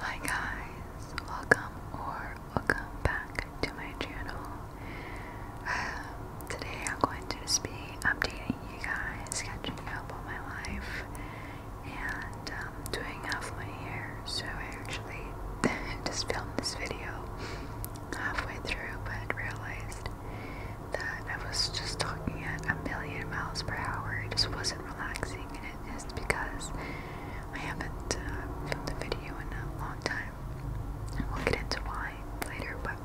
Hi guys, welcome or welcome back to my channel. Um, today I'm going to just be updating you guys, catching up on my life, and um, doing my hair. So I actually just filmed this video halfway through, but realized that I was just talking at a million miles per hour. It just wasn't relaxing it is because I haven't uh, filmed a video in a long time. we'll get into why later, but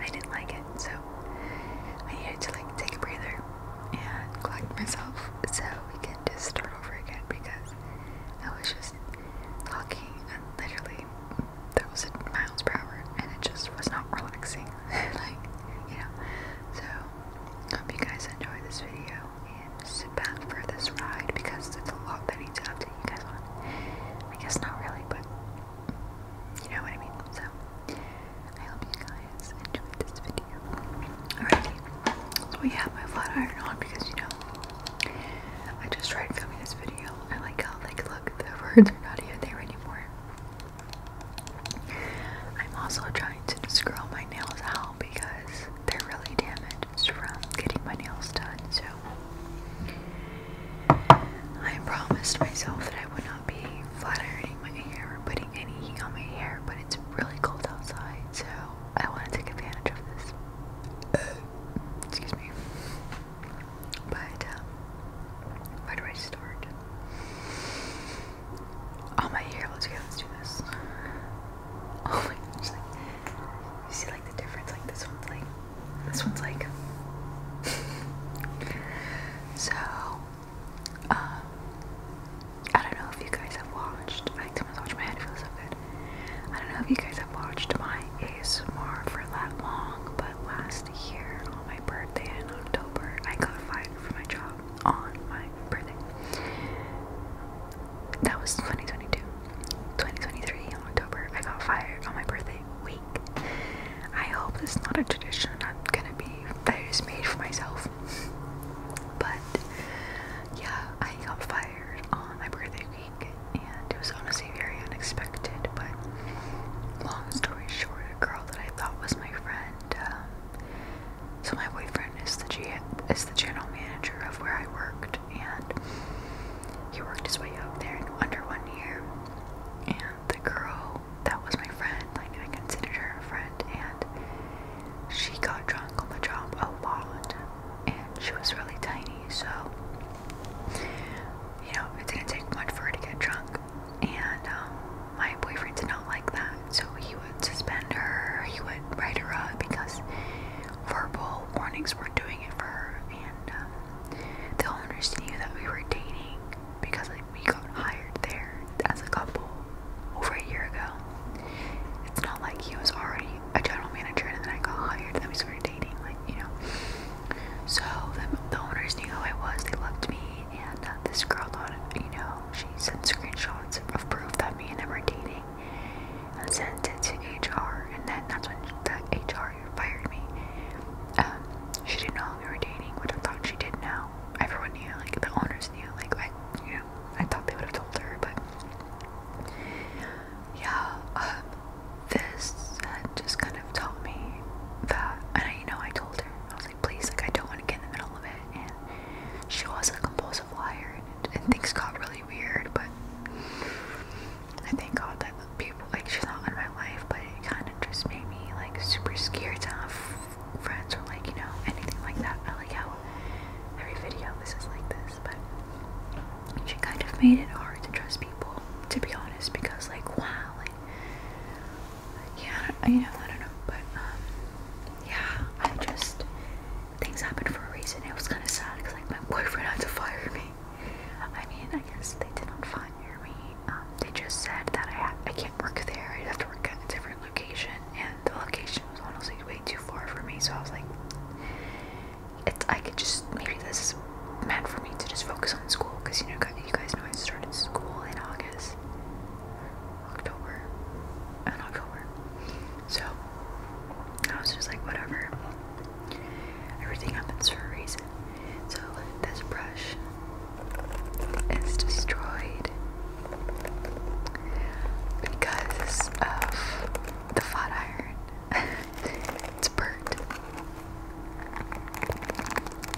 I didn't like it, so I needed to like take a breather and collect myself so we can just start over again because I was just talking and literally there was miles per hour and it just was not relaxing. like, you know. So Hope you guys enjoyed this video and sit back for this ride because there's a lot that I need to update you guys on. I guess not really, but you know what I mean. So I hope you guys enjoyed this video. Alrighty, so we have my flat iron on because you know I just tried filming this video. I like how like look the words are not even there anymore. I'm also trying to scroll my nails out because they're really damaged from getting my nails done. So I promised myself that I would not be flat ironing my hair or putting any heat on my hair, but it's really cold outside, so I want to take advantage of this. Excuse me. But um, where do I start? Oh my ear, let's go, let's do this. Oh my gosh, like, you see like the difference, like this one's like, this one's like. so, um, I don't know if you guys have watched, I like someone's watching my head, it feels so good. I don't know if you guys have watched my ASMR for that long, but last year on my birthday in October, I got fired from my job on my birthday. That was 2022. 2023 On October, I got fired on my birthday week. I hope that's not a tradition I'm gonna be that is made for myself. But yeah, I got fired on my birthday week, and it was honestly very unexpected. But long story short, a girl that I thought was my friend um, so my boyfriend is the G is the general manager of where I worked, and he worked his way up there in under one year. And the girl that was my friend, like I considered her a friend, and she got drunk on the job a lot, and she was really tiny, so you know it didn't take much for her to get drunk and um, my boyfriend did not like that, so he would suspend her, he would write her up because verbal warnings were doing it for her, and um, the owners knew that we were dating because like, we got hired there as a couple over a year ago. It's not like he was already a general manager and then I got hired and then we started dating, like, you know. So the, the owners knew who I was, they loved me, and uh, this girl thought, you know, she sent screenshots of proof that me and them were dating and sent it to HR, and then that's when the HR fired me. Um, she didn't know I was dating, which I thought she did know. Everyone knew, like the owners knew, like I, you know, I thought they would have told her, but yeah. Um, this uh, just kind of told me that, and I, you know, I told her please, like, I don't want to get in the middle of it. And she was a compulsive liar, and, things got really weird. But I thank God that people, like, she's not in my life, but it kind of just made me, like, super scared to have friends or, like, you know, anything like that. I like how every video this is like this, but she kind of made it hard to trust people, to be honest, because, like, wow, like, yeah, I don't, you know, I don't know, but um, yeah, I just things happened for a reason. It was kind of sad because like my boyfriend had to fire me. I mean, I guess they did not fire me. Um, they just said that I ha I can't work there. I'd have to work at a different location, and the location was honestly way too far for me. So I was like, it's I could just maybe this is meant for me to just focus on school because you know you guys know I started school in August. October, in October. So I was just like, whatever. Everything happens for a reason. So this brush is destroyed because of the flat iron. it's burnt.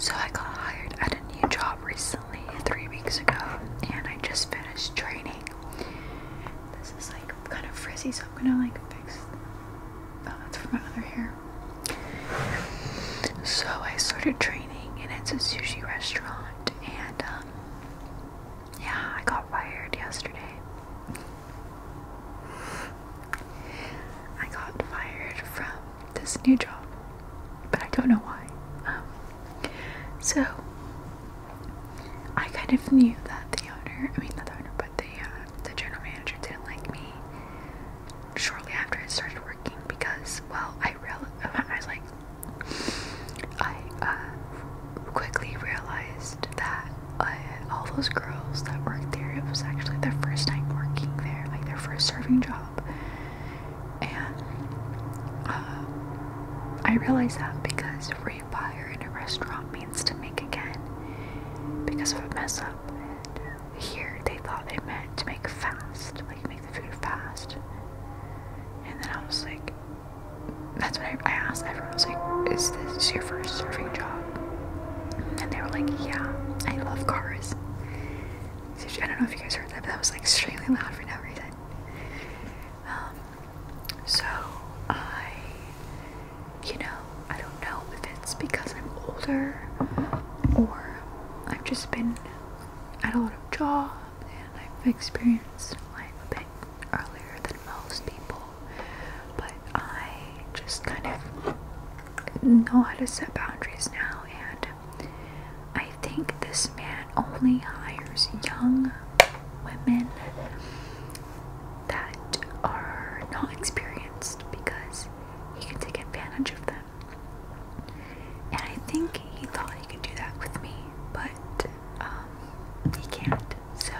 So, I got hired at a new job recently, three weeks ago, and I just finished training. This is like kind of frizzy, so I'm gonna like fix. Oh, that's for my other hair. So I started training, and it's a sushi restaurant. And um, yeah, I got fired yesterday. I got fired from this new job, but I don't know why. Um, so I kind of knew that the owner, I mean not the owner, but the uh, the general manager didn't like me shortly after I started working because, well, I I real I uh, quickly realized that uh, all those girls that worked there it was actually their first time working there, like their first serving job, and uh, I realized that because refire in a restaurant means to make again because of a mess up here they thought they meant to make fast, like make the food fast. And then I was like, that's what I, asked everyone, I was like, is this your first serving job? And they were like, yeah, I love cars. I don't know if you guys heard that, but that was like extremely loud for no reason. Um, so I, you know, I don't know if it's because I'm older or I've just been I had a lot of jobs and I've experienced life a bit earlier than most people. But I just kind of know how to set boundaries now and I think this man only hires young women that are not experienced because he can take advantage of them and I think he thought he could do that with me, but um, he can't. So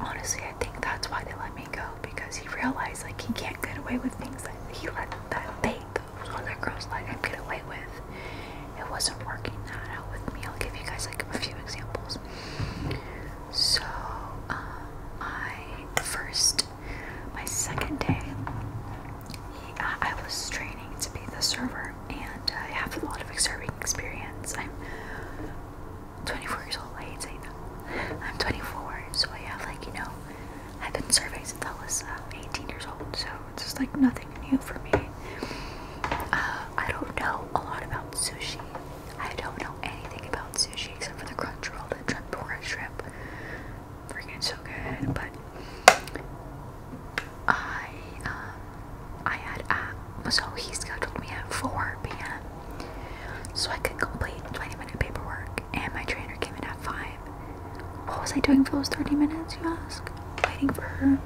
honestly, I think that's why they let me go because he realized like he can't get away with things that he let that they, those that girls, let him get away with. It wasn't working that out with me. I'll give you guys like a few examples. So um, first my second day, I was training to be the server, and I have a lot of serving experience. I'm 24 years old. I hate saying that. I'm 24, so I have like you know, I've been serving since I was uh, 18 years old. So it's just like nothing new for me. Uh, I don't know a lot about sushi. I don't know anything about sushi except for the crunch roll, the shrimp, pork shrimp freaking so good. But I, um, I had uh, so he scheduled me at 4 p.m. so I could complete 20 minute paperwork, and my trainer came in at 5. What was I doing for those 30 minutes, you ask? Waiting for her.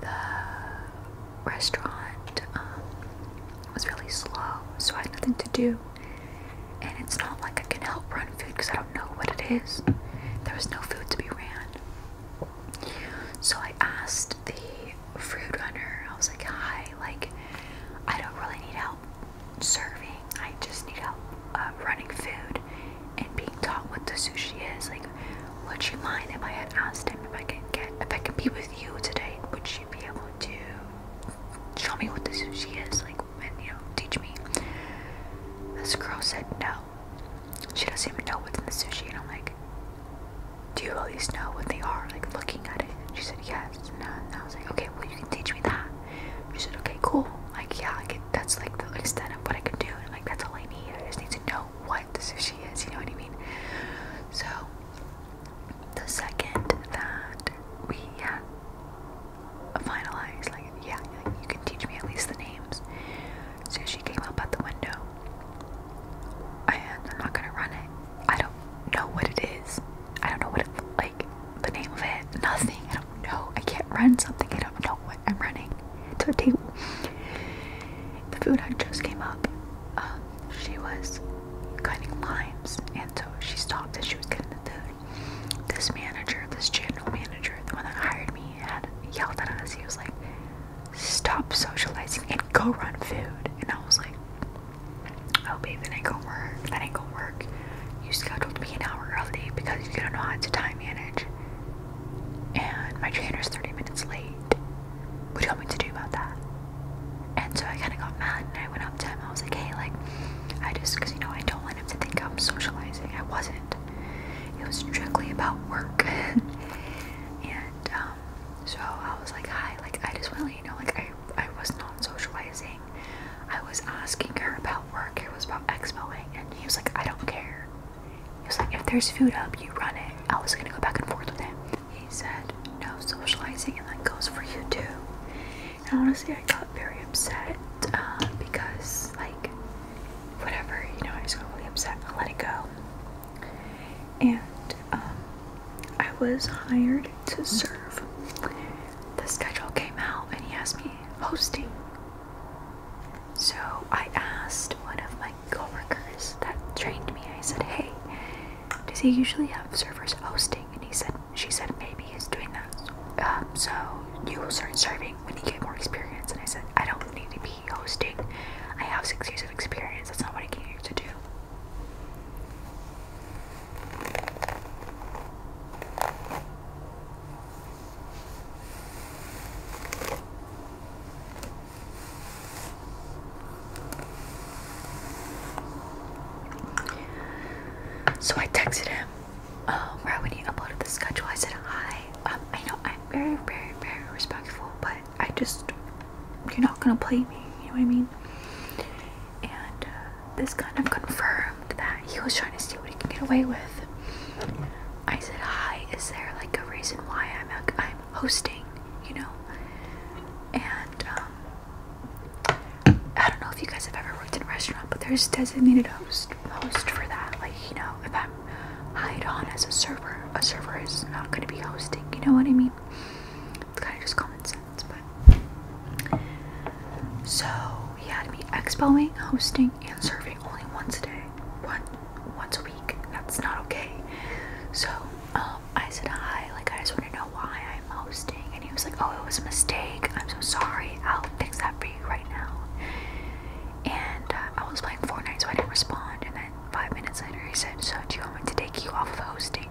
The restaurant um, was really slow, so I had nothing to do. And it's not like I can help run food because I don't know what it is. There was no food to be ran. So I asked the food runner, I was like, hi, like, I don't really need help serving. I just need help uh, running food and being taught what the sushi is. Like, would you mind if I had asked him if I could get if I could be with you today? Would you be able to show me what this she is, like, and you know, teach me. This girl said no. She doesn't even know what's in the sushi, and I'm like, do you at least know what they are? Like, looking at it. She said yes, no. And I was like, okay, well, you can teach me that. She said, okay, cool. Like, yeah, I can, that's like the extent of what I can do, and like, that's all I need. I just need to know what the sushi is. You know what I mean? So the second that we uh, finalized, like, yeah, like, you can teach me at least the names. So she came up at the window, and I'm not gonna run it. I don't know what it is. I don't know what it, like, the name of it. Nothing. I don't know. I can't run something. I don't know what I'm running. It's a table. The food I just came up. Um, she was cutting limes, and so she stopped as she was getting the food. This manager, this general manager, the one that hired me, had yelled at us. He was like, "Stop socializing and go run food." And I was like, "I'll oh, be ain't gonna work. That ain't gonna work. You scheduled me an hour early because you don't know how to time manage, and my trainer is 30 minutes late. What do you want me to do about that?" And so I kind of got mad and I went up to him. I was like, hey, like, I just, because, you know, I don't want him to think I'm socializing. I wasn't. It was strictly about work. and um, so I was like, hi, like, I just want to you know, like, I, I was not socializing. I was asking her about work. It was about expoing. And he was like, I don't care. He was like, if there's food up, you run it. I was going to go back and forth with him. He said, No socializing, and that goes for you too. And honestly, I got very upset uh, because, like, whatever, you know, I just got really upset and let it go. And um, I was hired to serve. The schedule came out, and he asked me hosting. So I asked one of my coworkers that trained me. I said, "Hey, does he usually have servers hosting?" And he said, she said maybe he's doing that um, so you will start serving when you get more experience and I said I don't need to be hosting I have six years of experience that's not what I came here to do so I texted him um, right when he uploaded the schedule. I said, Hi, um, I know I'm very, very, very respectful, but I just, you're not gonna play me, you know what I mean? And uh, this kind of confirmed that he was trying to see what he can get away with. I said, Hi, is there like a reason why I'm, I'm hosting, you know? And um, I don't know if you guys have ever worked in a restaurant, but there's designated host host for that. Like, you know, if I'm hired on as a server, a server is not gonna be hosting, you know what I mean? It's kinda just common sense, but so he had to be expoing, hosting, and serving only once a day. One once a week. That's not okay. So, um, I said hi, like I just want to know why I'm hosting. And he was like, oh, it was a mistake. I'm so sorry. I'll fix that for you right now. And uh, I was playing Fortnite, so I didn't respond. And then five minutes later, he said, so do you want me to take you off of hosting?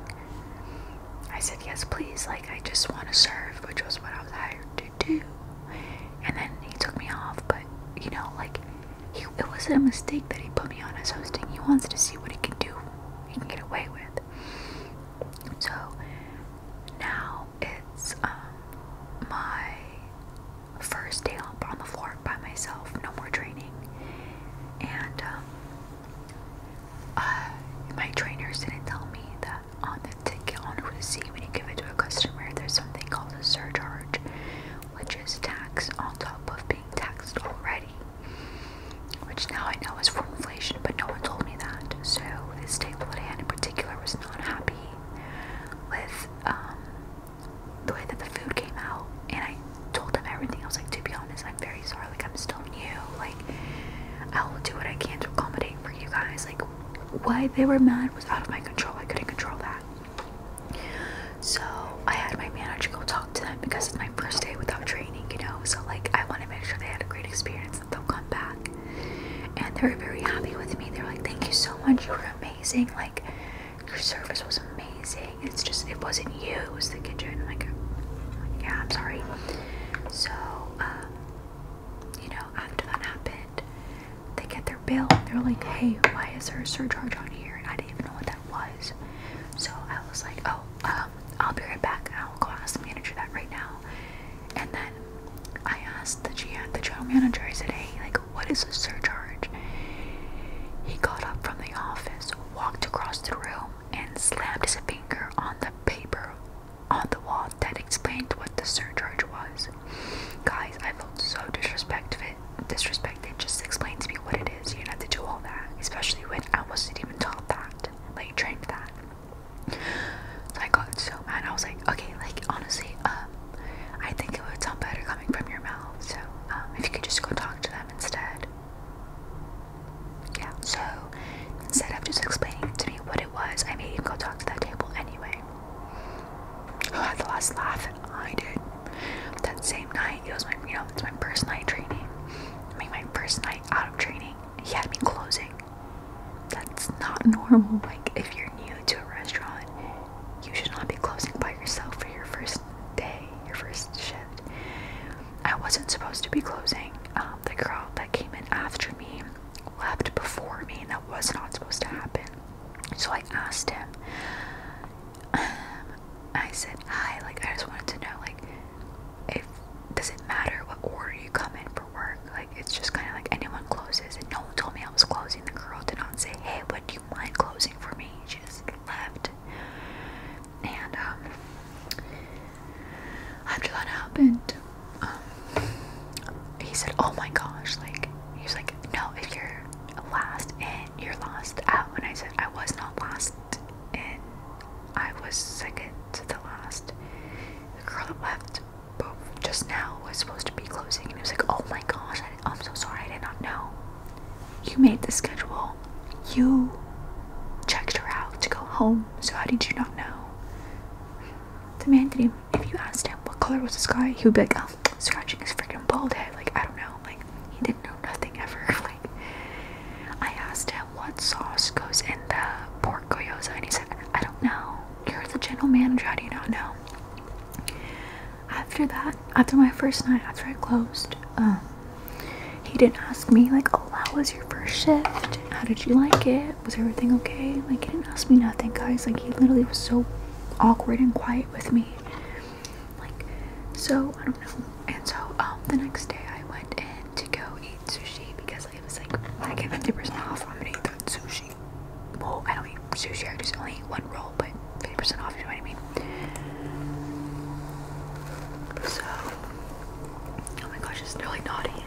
I said, yes, please. Like, I just want to serve, which was what I was hired to do. And then he took me off, but you know, like, he, it wasn't a mistake that he put me on as hosting. He wants to see what he can do you can get away with. So now it's um, my first day on the floor by myself, no more training. And um, uh, my trainers didn't tell me that on the ticket, on the receipt, when you give it to a customer, there's something called a surcharge, which is tax on top of being taxed already which now I know is from inflation, but no one told me that. So this table at hand in particular was not happy with um, the way that the food came out, and I told them everything. I was like, to be honest, I'm very sorry. Like I'm still new. Like I will do what I can to accommodate for you guys. Like why they were mad was out of my control. I couldn't control that. So I had my manager go talk to them because it's my first day without training, you know. So like I want to make sure they had a great experience that they'll come back. And they were very happy with me. they were like, "Thank you so much. You were amazing. Like your service was amazing. It's just it wasn't you. It was the kitchen." Like, yeah, I'm sorry. So, um, you know, after that happened, they get their bill. And they're like, "Hey, why is there a surcharge on here?" And I didn't even know what that was. So I was like, "Oh, um, I'll be right back. I'll go ask the manager that right now. And then I asked the GM, the general manager, I said, hey, like, what is the surcharge? He got up from the office, walked across the room, and slammed his finger on the paper on the wall that explained what the surcharge was. Guys, I felt so disrespected. Disrespected. Just explain to me what it is it is. You don't have to do all that, especially when I wasn't even taught that, like trained that. So I got so mad. I was like, okay, like honestly, um, I think it would sound better coming from your mouth. So um, if you could just go talk to them instead. Yeah. So instead of just explaining to me what it was, I made him go talk to that table anyway. Who had the last laugh? I did. That same night, it was my, you know, it's my first night training. I mean, my first night out of training, he had me closing. That's not normal. Like, if you're new to a restaurant, you should not be closing by yourself for your first day, your first shift. I wasn't supposed to be closing. Um, the girl that came in after me left before me, and that was not supposed to happen. So I asked him, I said hi, like I just wanted to know like if does it matter what order you come in for work? Like it's just kinda like anyone closes and no one told me I was closing. The girl did not say, Hey, would you mind closing for me? She just left. And um, after that happened, um, he said, Oh my gosh, like he was like, No, if you're last in, you're lost out and I said I was not lost." and I was second to the last. The girl that left just now was supposed to be closing, and it was like, oh my gosh, I, am so sorry, I did not know. You made the schedule. You checked her out to go home, so how did you not know? The man didn't. If you asked him what color was the sky, he would be like, oh, scratching his freaking bald head. Like, I don't know. Like he didn't know nothing ever. like I asked him what sauce goes in the pork gyoza, and he said, "I don't know." You're the general manager. How do you not know? After that, after my first night, after I closed, um, he didn't ask me like, "Oh, how was your first shift? How did you like it? Was everything okay?" Like he didn't ask me nothing, guys. Like he literally was so awkward and quiet with me like so I don't know. And so um the next day I went in to go eat sushi because I was like I get 50% off, I'm to eat that sushi. Well, I don't eat sushi, I just only eat one roll, but 50% off, you know what I mean? So oh my gosh, it's really naughty.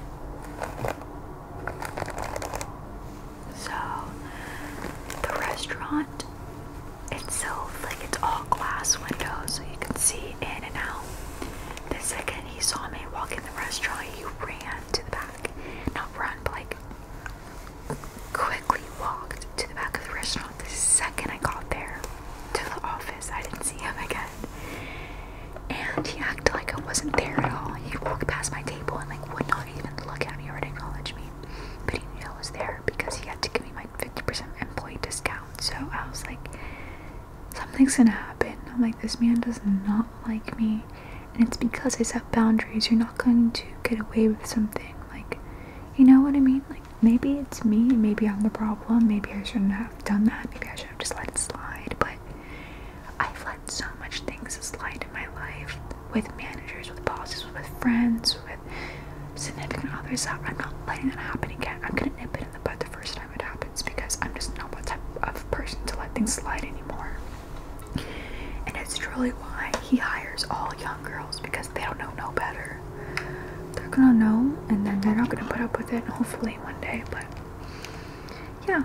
So the restaurant it's silver, like it's all glass windows, so you can see in and out. The second he saw me walk in the restaurant, he ran to the back. Not run, but like quickly walked to the back of the restaurant the second I got there to the office. I didn't see him again. And he acted like I wasn't there at all. He walked past my table and like would not even look at me or acknowledge me. But he knew I was there because he had to give me my 50% employee discount. So I was like, something's gonna happen. I'm like, this man does not like me. And it's because I set boundaries. You're not going to get away with something. Like, you know what I mean? Like, maybe it's me. Maybe I'm the problem. Maybe I shouldn't have done that. Maybe I should have just let it slide. But I've let so much things slide in my life with managers, with bosses, with friends, with significant others I'm not letting that happen again. I'm gonna nip it in the bud the first time it happens because I'm just not what type of person to let things slide anymore. And it's truly why he hires all young girls because they don't know no better. They're gonna know and then they're not gonna put up with it hopefully one day, but yeah,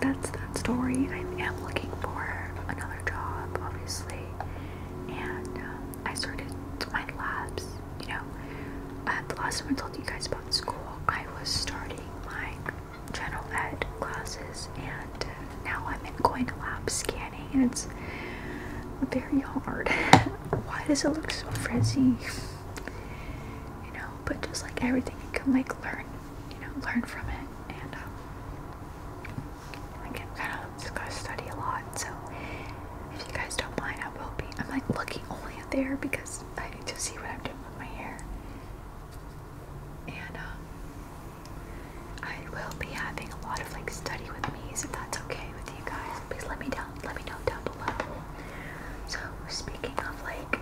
that's that story. I am looking for another job, obviously, and um, I started my labs, you know, uh, the last time I told you guys about school, I was starting my general ed classes, and uh, now I'm in going to lab scanning, and it's very hard. Why does it look so frizzy? You know, but just like everything, you can like learn, you know, learn from it, and um, I'm kind of just to study a lot, so if you guys don't mind, I will be. I'm like looking only at there because I need to see what I'm doing with my hair. And um, I will be having a lot of like study with me's if that's okay with you guys. Please let me down, let me know down below. So speaking of like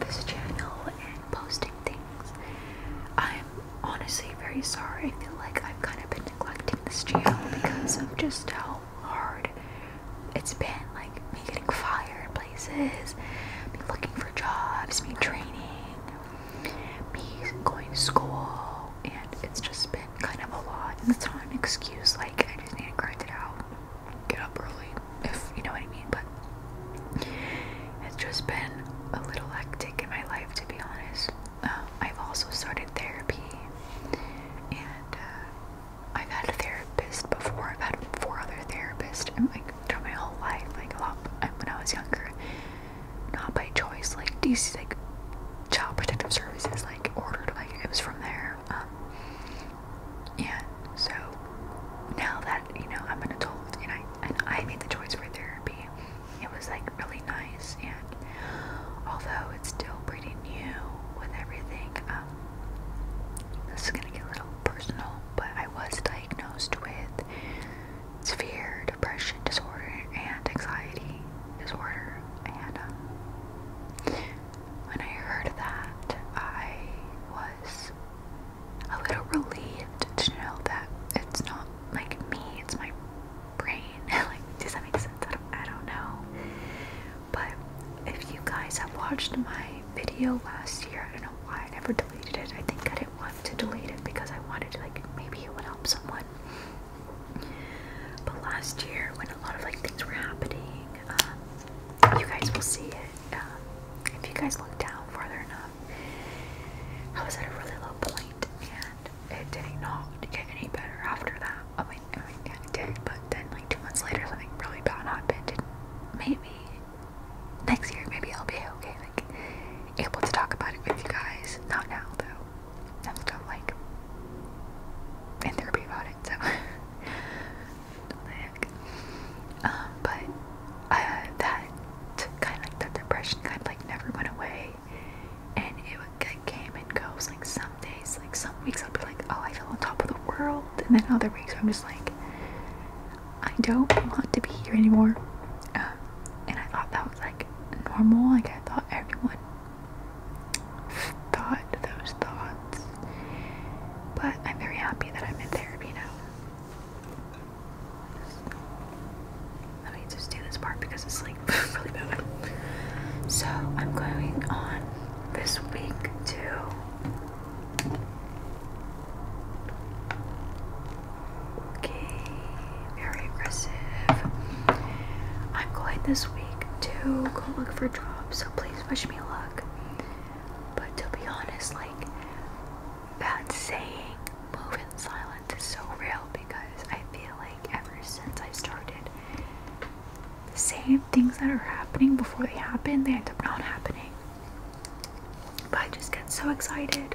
this channel and posting things, I'm honestly very sorry. I feel like I've kind of been neglecting this channel because of just how hard it's been. Like me getting fired me looking for jobs, me training, me going to school, and it's just been kind of a lot. And it's not an excuse. Like I just need to grind it out, get up early, if you know what I mean. But it's just been a little hectic in my life, to be honest. Uh, I've also started therapy, and uh, I've had a therapist before. I've had four other therapists, and like throughout my whole life, like a lot when I was younger, not by choice. Like these, like Child Protective Services, like ordered, like it was from there. Um, yeah, so now that you know I'm an adult and I and I made the choice for therapy. It was like really nice, and although it's still pretty new with everything, um, this is gonna get a little personal, but I was diagnosed with severe depression disorder and anxiety disorder, and um, when I heard that, I was a little relieved to know that it's not like me, it's my brain. like, does that make sense? I don't, know. But if you guys have watched my video last year, I don't know why I never deleted it. I think I didn't want to delete it because I wanted to, like, maybe it would help someone. But last year, when a lot of like things were happening, um, you guys will see it um, if you guys look down farther enough. I was at a really low point, point it did not get any better after that. I mean, I mean yeah, it did, but then like two months later, something really bad happened. And maybe next year, maybe I'll be okay, like able to talk about it with you guys. Not now though. I'm still like in therapy about it, so. Um, but uh, that kind of like that depression kind of like never went away, and it would like, came and goes. Like some days, like some weeks, i would be like, oh, I feel on top of the world, and then other weeks I'm just like, I don't want to be here anymore. Um, and I thought that was like normal. Like I thought everyone thought those thoughts, but I'm very happy that I'm in therapy now. Let me just do this part because it's like really bad. So I'm going on this week too. Okay, very aggressive. I'm going this week to go look for jobs, so please wish me luck. But to be honest, like that saying move in silence is so real because I feel like ever since I started saying things that are happening before they happen, they end up not happening. But I just get so excited.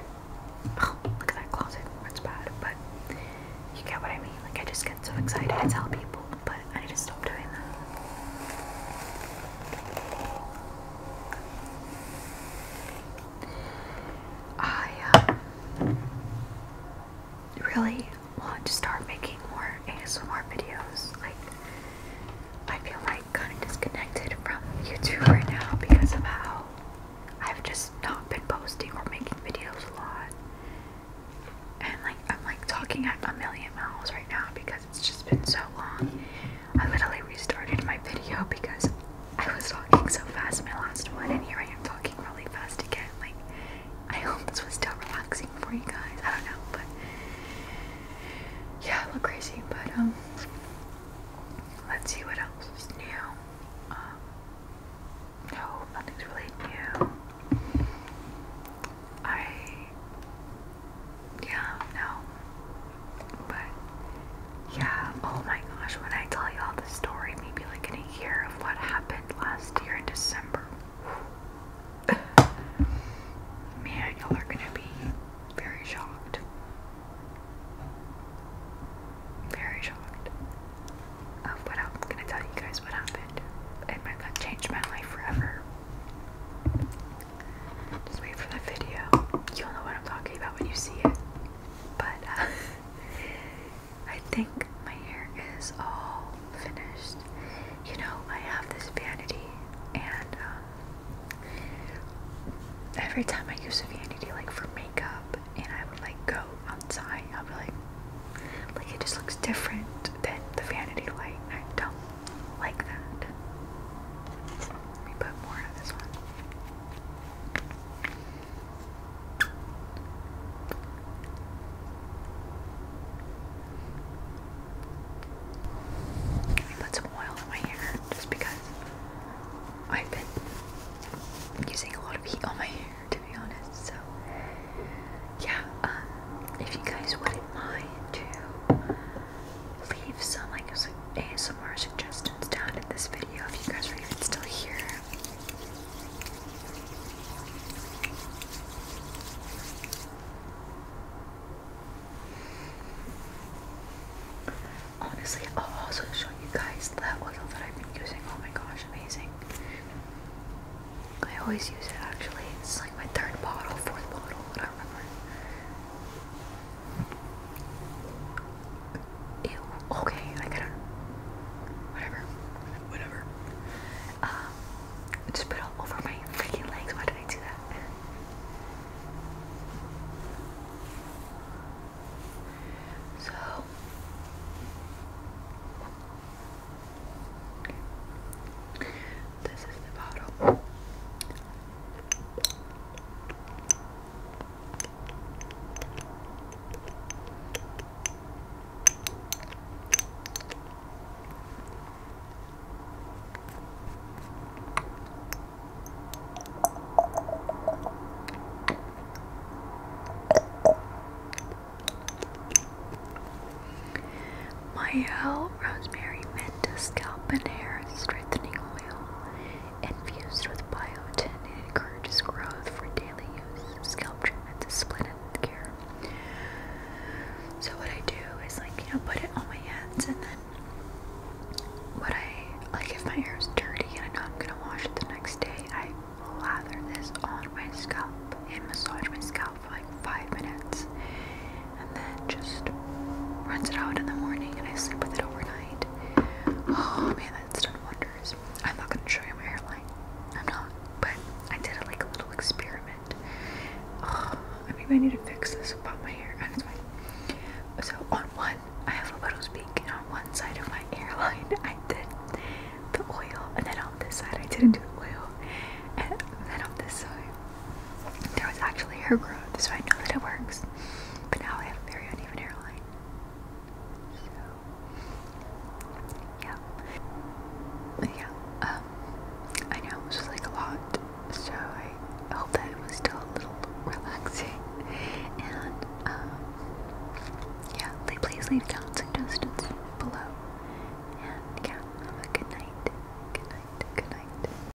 Oh, look at that closet. That's bad. But you get what I mean. Like, I just get so excited to tell people, but I need to stop doing that. I uh, really want to start making more ASMR videos. Like, I feel like kind of disconnected from YouTube right now because of how I've just not been posting or making videos a lot. And like, I'm like talking at a million miles right now because it's just been so long. I literally restarted my video because I was talking so fast in my last one, and here I am talking really fast again. Like, I hope this was still relaxing for you guys. I don't know, but yeah, I look crazy. But um, let's see what else is new. Um, no, nothing's really new. I yeah, no, but yeah, oh my gosh, when I tell y'all the story, maybe like in a year of what happened last year in December. Man, y'all are gonna be very shocked. Very shocked of what I'm gonna tell you guys what happened. It might not change my life forever. Just wait for the video. You'll know what I'm talking about when you see it. But uh, I think my hair is all finished. You know, I have this vanity, and um, every time I use a vanity, like for makeup, and I would like go outside, I'll be like, like it just looks different than the vanity light. I don't like that. Let me put more on this one. Put some oil in my hair just because I've been using a lot of heat on my hair to be honest. So yeah, um, if you guys wouldn't mind to leave some like ASMR suggestions down in this video if you guys are even still here. Honestly, I'll also show you guys that oil that I've been using. Oh my gosh, amazing. I always use it actually. It's like my third bottle, fourth bottle, I remember. Ew. Okay, I gotta. Whatever. Whatever. Um, just put all over my freaking legs. Why did I do that? So. This is the bottle. Mayel Rosemary Mint Scalp and Hair Strengthening Oil Infused with biotin, it encourages growth for daily use, scalp treatments, split end care. So what I do is like, you know, put it on my hands and then what I, like if my hair is dirty and I know I'm going to wash it the next day, I lather this on my scalp and massage my scalp for like five minutes and then just runs it out in the morning and I sleep with it overnight. Oh man, that's done wonders. I'm not gonna show you my hairline. I'm not, but I did a, like a little experiment. Oh, I maybe I need to fix this about my hair. So on one, I have a widow's peak, and on one side of my hairline, I did the oil, and then on this side, I didn't do the oil, and then on this side, there was actually hair growth, so I know that it works. But now I have a very uneven hairline. So, yeah. Yeah, um, I know this was like a lot, so I hope that it was still a little relaxing. And, um, yeah, please leave comments suggestions below. And yeah, have a good night. Good night. Good night.